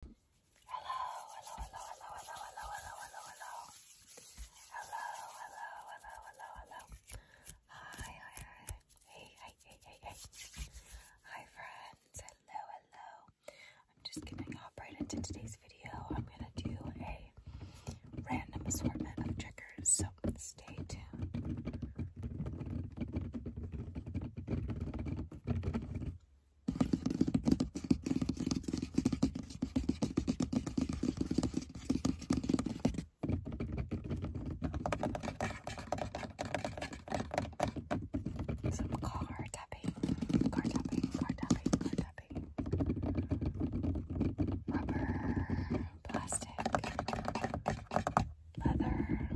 hello, hello, hello, hello, hello, hello, hello, hello. Hello, hello, hello, hello, hello. Hi, hi, hi. Hey, hey, hey, hey, hey. Hi friends. Hello, hello. I'm just gonna hop right into today's video. I'm gonna do a random assortment of checkers, so stay tuned. Some car tapping, car tapping, car tapping, car tapping. Rubber, plastic leather, plastic.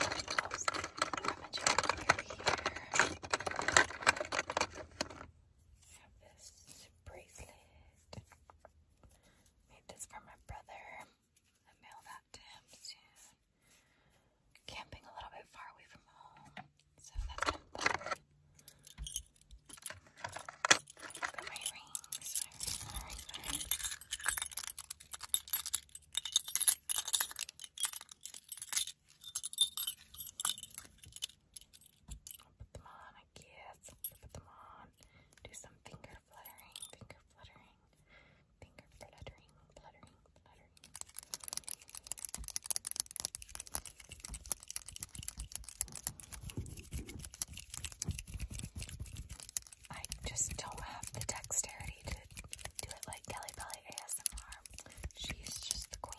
Have this bracelet. Made this for my brother. I mail that to him soon. Camping a little bit far away from home. So that's my rings. put them on, I guess. put them on. Do some finger fluttering, finger fluttering, finger fluttering, fluttering, fluttering. I just don't have the dexterity to do it like Kelly Belly ASMR. She's just the queen.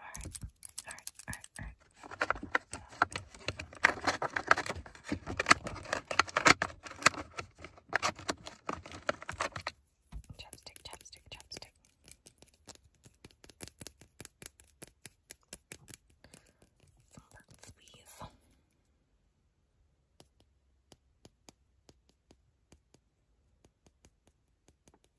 Alright, alright, alright, alright. Chapstick, chapstick, chapstick. Some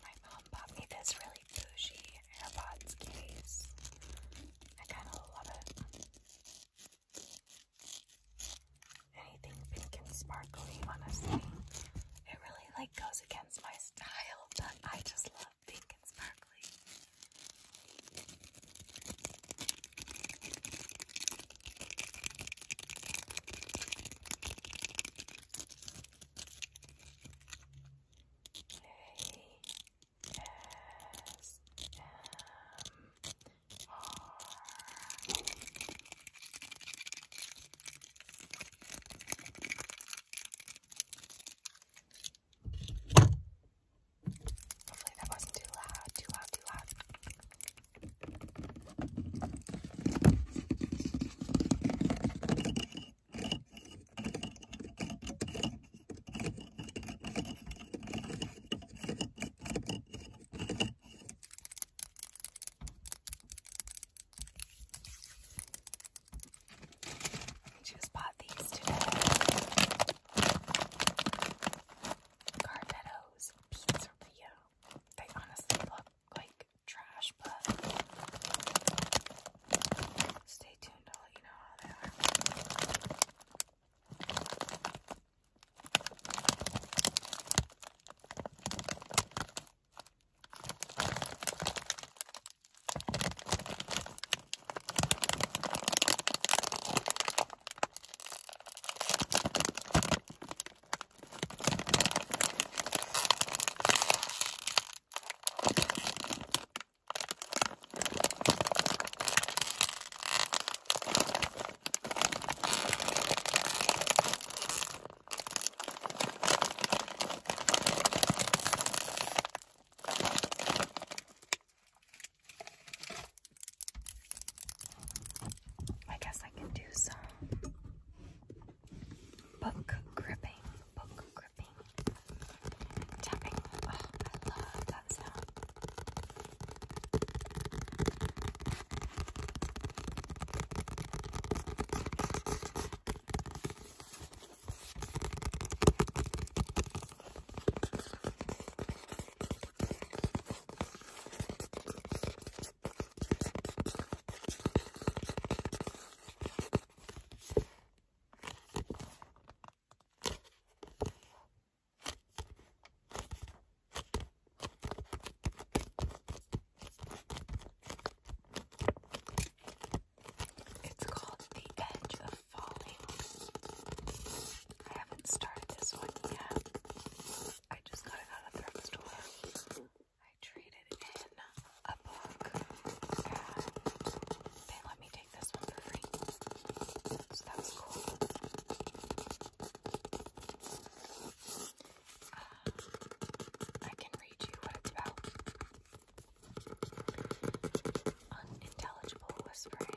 My mom bought me this really bougie AirPods case. I kind of love it. Anything pink and sparkly, honestly. It really like goes against my style, but I just love pink and sparkly. Hey. S M R. Hopefully that wasn't too loud, too loud, too loud. Just bought these today. Carnetto's pizzeria. They honestly look like trash, but stay tuned. i let you know how they are. I guess I can do some Book gripping, book gripping, tapping. Oh, I love that sound. It's called The Edge of Falling. I haven't started this one yet. I just got it out of the drugstore. I traded in a book they let me take this one for free. So that cool. Uh, I can read you what it's about. Unintelligible whispering.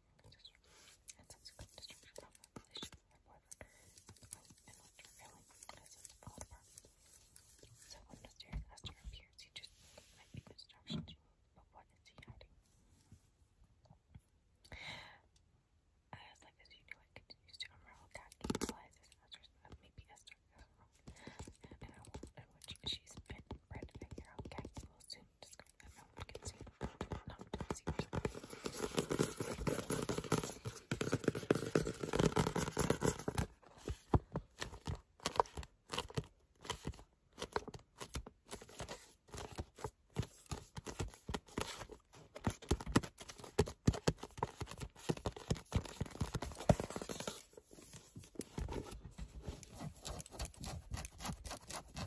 and subsequent destruction the point in appears, you just might be the destruction but what is he hiding? As like as you do, it continues to unravel. Cat realizes Esther's uh, maybe Esther is and in which she's been bred to figure out Cat just going that no one can see. No one can see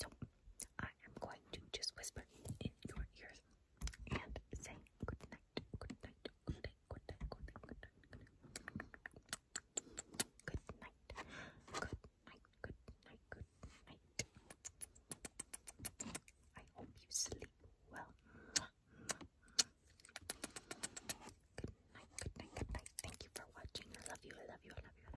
So I am going to just whisper in your ears and say good night, good night, good night, good night, good night, good night, good night, good night, good night, good night, I hope you sleep well. Good night, good night, good night. Thank you for watching. I love you, I love you. I love you.